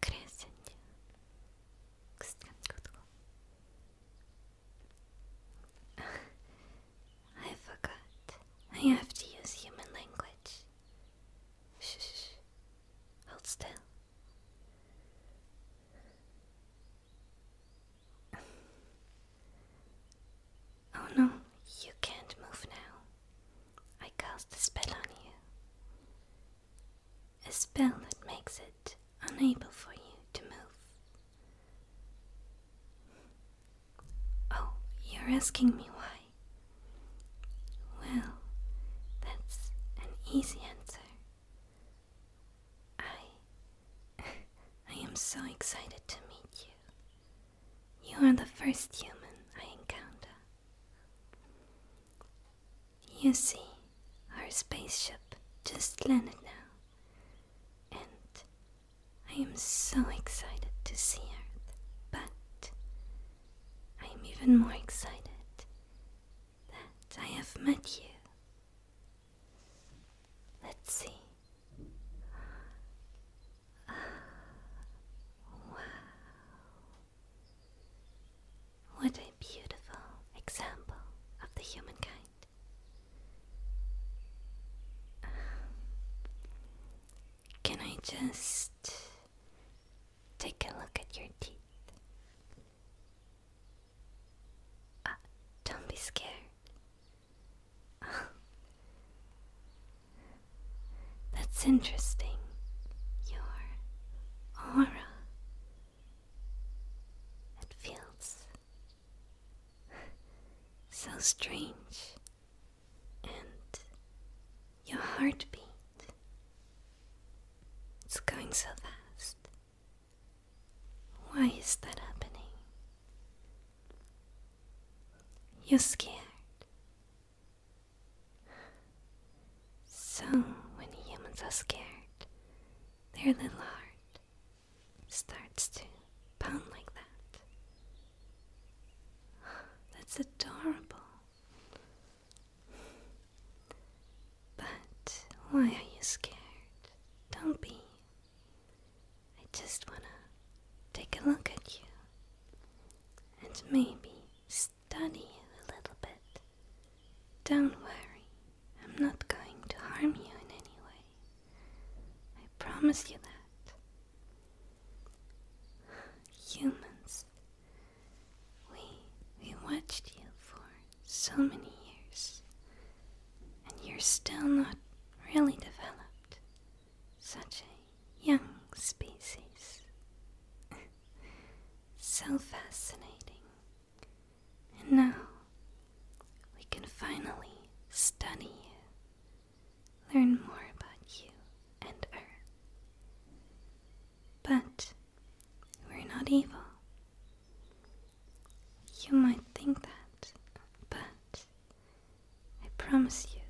그랬었냐? I forgot. I have to use human language. shh. Hold still. Oh no, you can't move now. I cast a spell on you. A spell that makes it unable for you to move. Oh, you're asking me why? Well, that's an easy answer. I. I am so excited to meet you. You are the first human I encounter. You see, our spaceship just landed now, and I am so excited to see Earth, but I am even more excited that I have met you. Let's see what a beautiful example of the humankind. Um, can I just take a look at your teeth? Ah, don't be scared. That's interesting. Your aura. It feels so strange. And your heartbeat. It's going so fast. Why is that happening? You're scared. So, when humans are scared, their little heart starts to pound like that. That's adorable. But why are you scared? Don't be I just wanna take a look at you and maybe study you a little bit. Don't worry, I'm not going to harm you in any way. I promise you that. Humans, we we watched you for so many years and you're still not really developed. Such a young species. so fascinating. And now we can finally study you, learn more about you and Earth. But we're not evil. You might think that, but I promise you,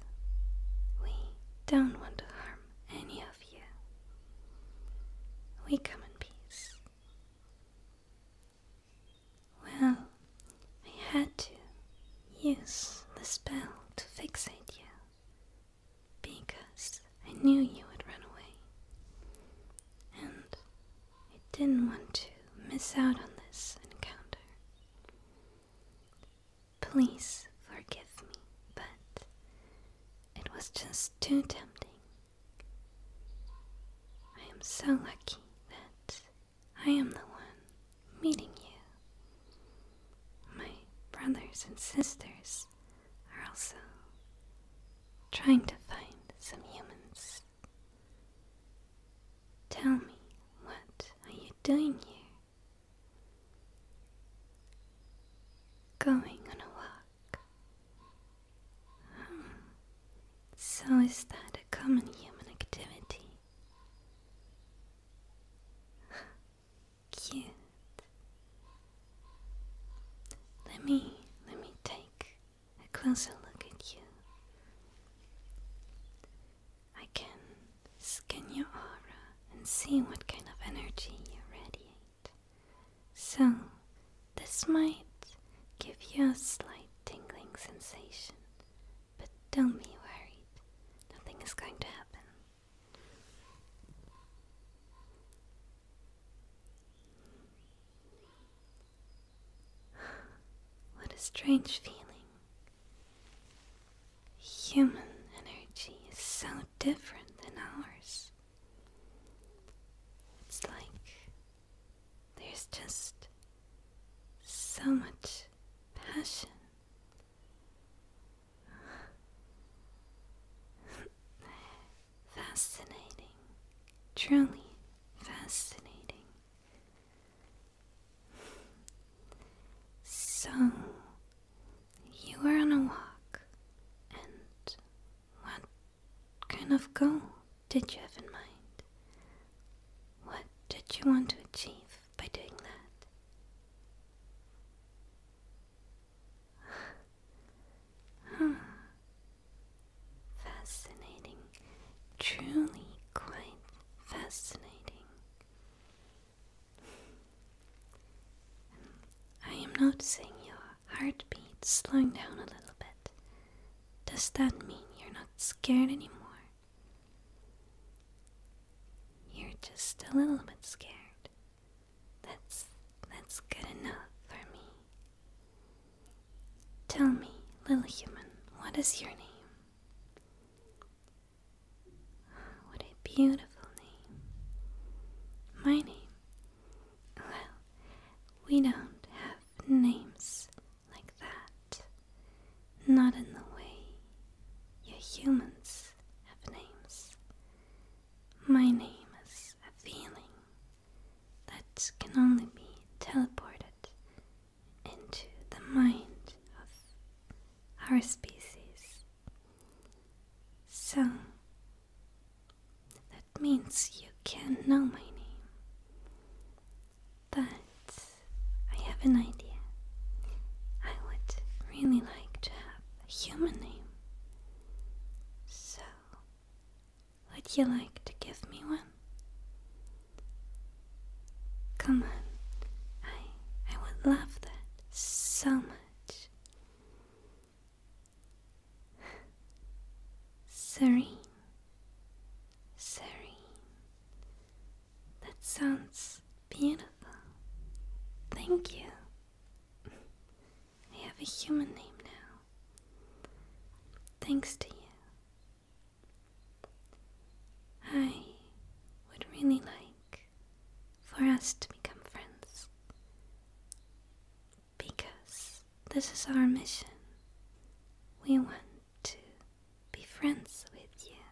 we don't want to harm any of you. We come in peace. Well, I had to use the spell to fixate you because I knew you would run away. And I didn't want to miss out on this encounter. Please forgive me, but it was just too tempting. I am so lucky that I am the one meeting you. My brothers and sisters are also trying to find some humans Tell me, what are you doing here? Going on a walk. Hmm. So, is that a common human activity? Cute. Let me, let me take a closer look at you. I can scan your aura and see what kind of energy you radiate. So, this might give you a slight tingling sensation, but don't be worried, nothing is going to happen. What a strange feeling. Human energy is so different than ours. It's like there's just so much passion. Fascinating. Truly fascinating. So, you were on a walk, and what kind of goal did you have in mind? What did you want to achieve by doing that? Huh. Fascinating. Truly quite fascinating. I am noticing your heartbeat slowing down a little bit. Does that mean you're not scared anymore? You're just a little bit scared. That's that's good enough for me. Tell me, little human, what is your name? What a beautiful name. My name? Well, we don't have names like that. Not in the way you humans have names. My name is a feeling that can only be teleported into the mind of our species. So that means you can not know my name. But I have an idea. I would really like to have a human name. So would you like to give me one? Come on, I, I would love that so much. Serene, serene. That sounds beautiful. Thank you. I have a human name now. Thanks to you. I would really like for us to become friends. Because this is our mission. We want to be friends with you,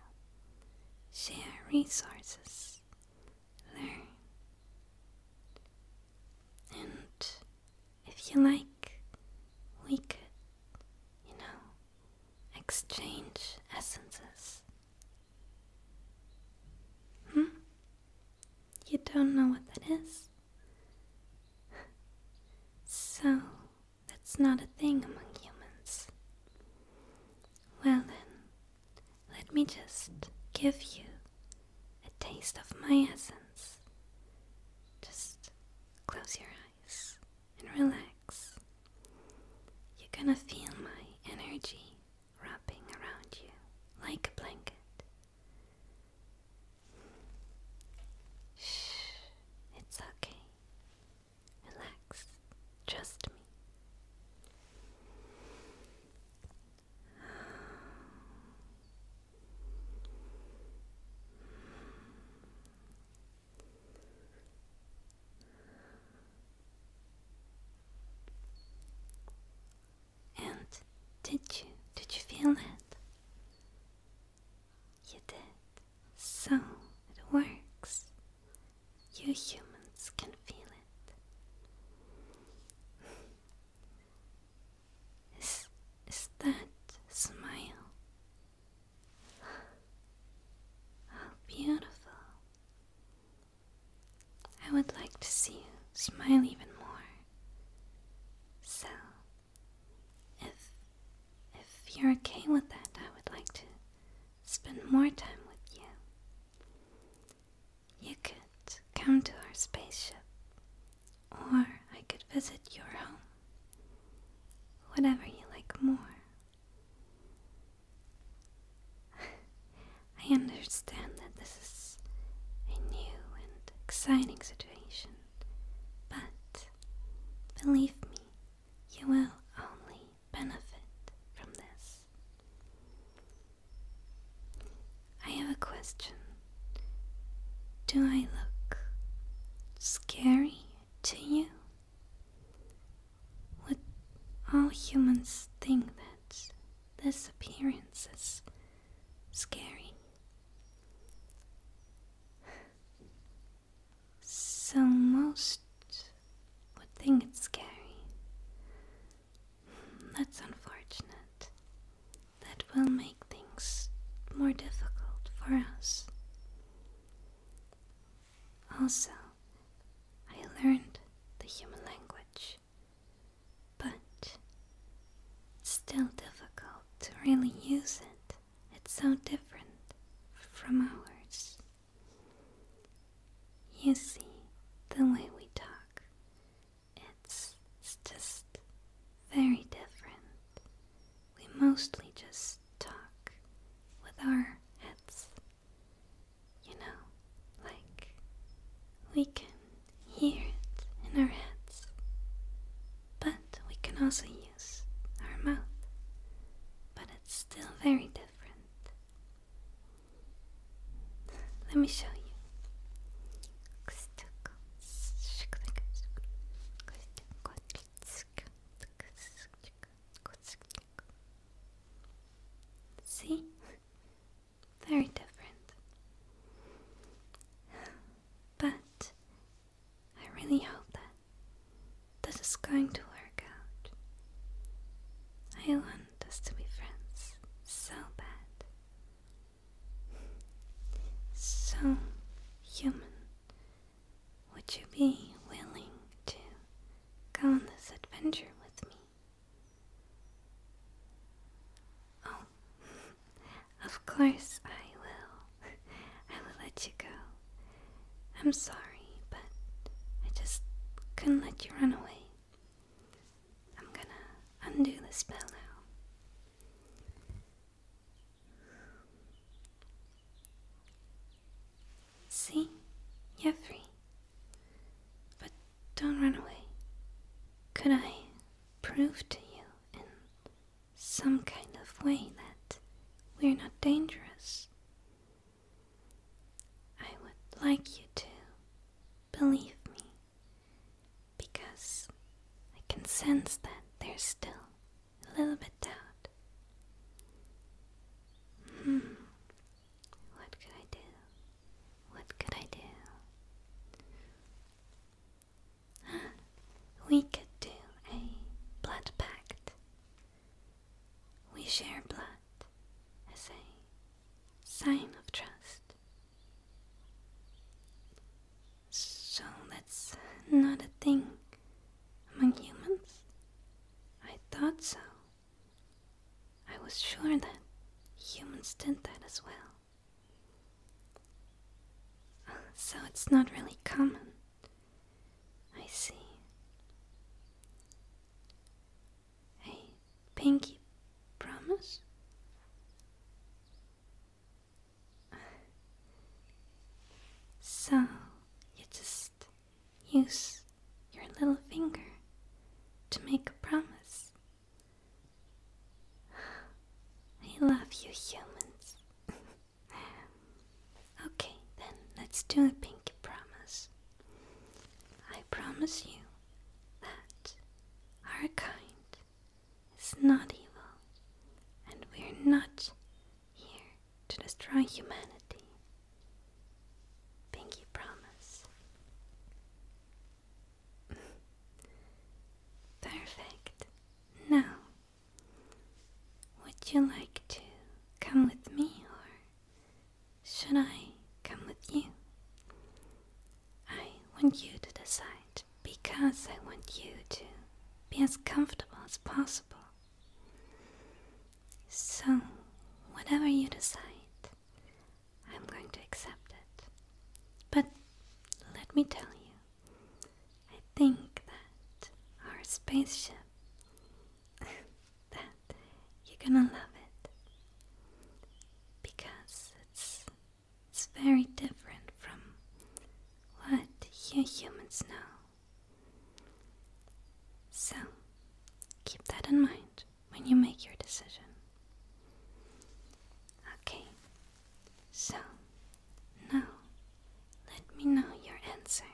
share resources, learn, and if you like, we could, you know, exchange essences. Hmm? You don't know what that is? So, that's not a thing among humans. Well then, let me just give you a taste of my essence. Just close your eyes and relax. You're gonna feel my energy wrapping around you like a blanket. Shh, it's okay. Relax. Trust me. And did you did you feel it? You did. So it works. You humans can feel it. Is, is that smile? How beautiful. I would like to see you smile even more. So, if, if you're okay with that, I would like to spend more time with you. You could come to our spaceship, or I could visit your home. Whatever you like more. I understand that this is a new and exciting situation, but believe me, you will only benefit from this. I have a question. Do I look scary to you? Would all humans think that this appearance is scary? So most would think it's scary. That's unfortunate. That will make things more difficult for us. Also, I learned the human language, but it's still difficult to really use it. It's so different from ours. You see, the way we talk it's, just very different. We mostly just talk with our heads. You know, like we can hear it in our heads, but we can also use our mouth. But it's still very different. Let me show you. See? Very different. But I really hope that this is going to work out. I want us to be friends so bad. So, human, would you be willing to go on this adventure with me? Oh, of course I will. I will let you go. I'm sorry, but I just couldn't let you run away. I'm gonna undo the spell now. See? You're free. But don't run away. Could I prove to you in some kind of way that we're not dangerous? I would like you to believe me because I can sense that there's still a little bit doubt. Hmm. What could I do? What could I do? We could do a blood pact. We share blood as a sign of trust. So that's not a thing among humans? I thought so. I was sure that humans did that as well. So it's not really common. I see. Hey, Pinky, promise? So, you just use your little finger to make a promise. I love you, humans. okay, then let's do a pinky promise. I promise you that our kind is not evil, and we're not here to destroy humanity. Pinky promise. Perfect. Now, would you like to come with me, or should I come with you? I want you to decide because I want you to be as comfortable as possible. So, whatever you decide, I'm going to accept it. But let me tell you, I think that our spaceship that you're gonna love it because it's it's very different from what you humans know. So keep that in mind when you make your decision. Okay, so now let me know your answer.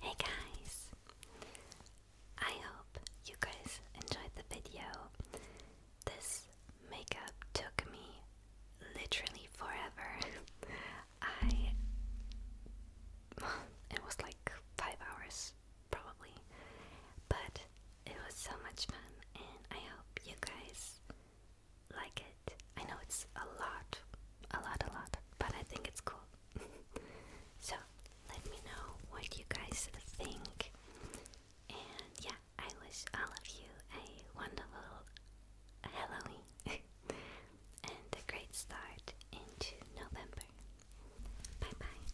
Hey guys! I hope you guys enjoyed the video. This makeup took me literally forever. I. It was like five hours, probably. But it was so much fun, and I hope you guys like it. I know it's a lot, a lot, a lot, but I think it's cool. so, let me know what you guys think. And yeah, I wish all of you a wonderful Halloween and a great start into November. Bye bye.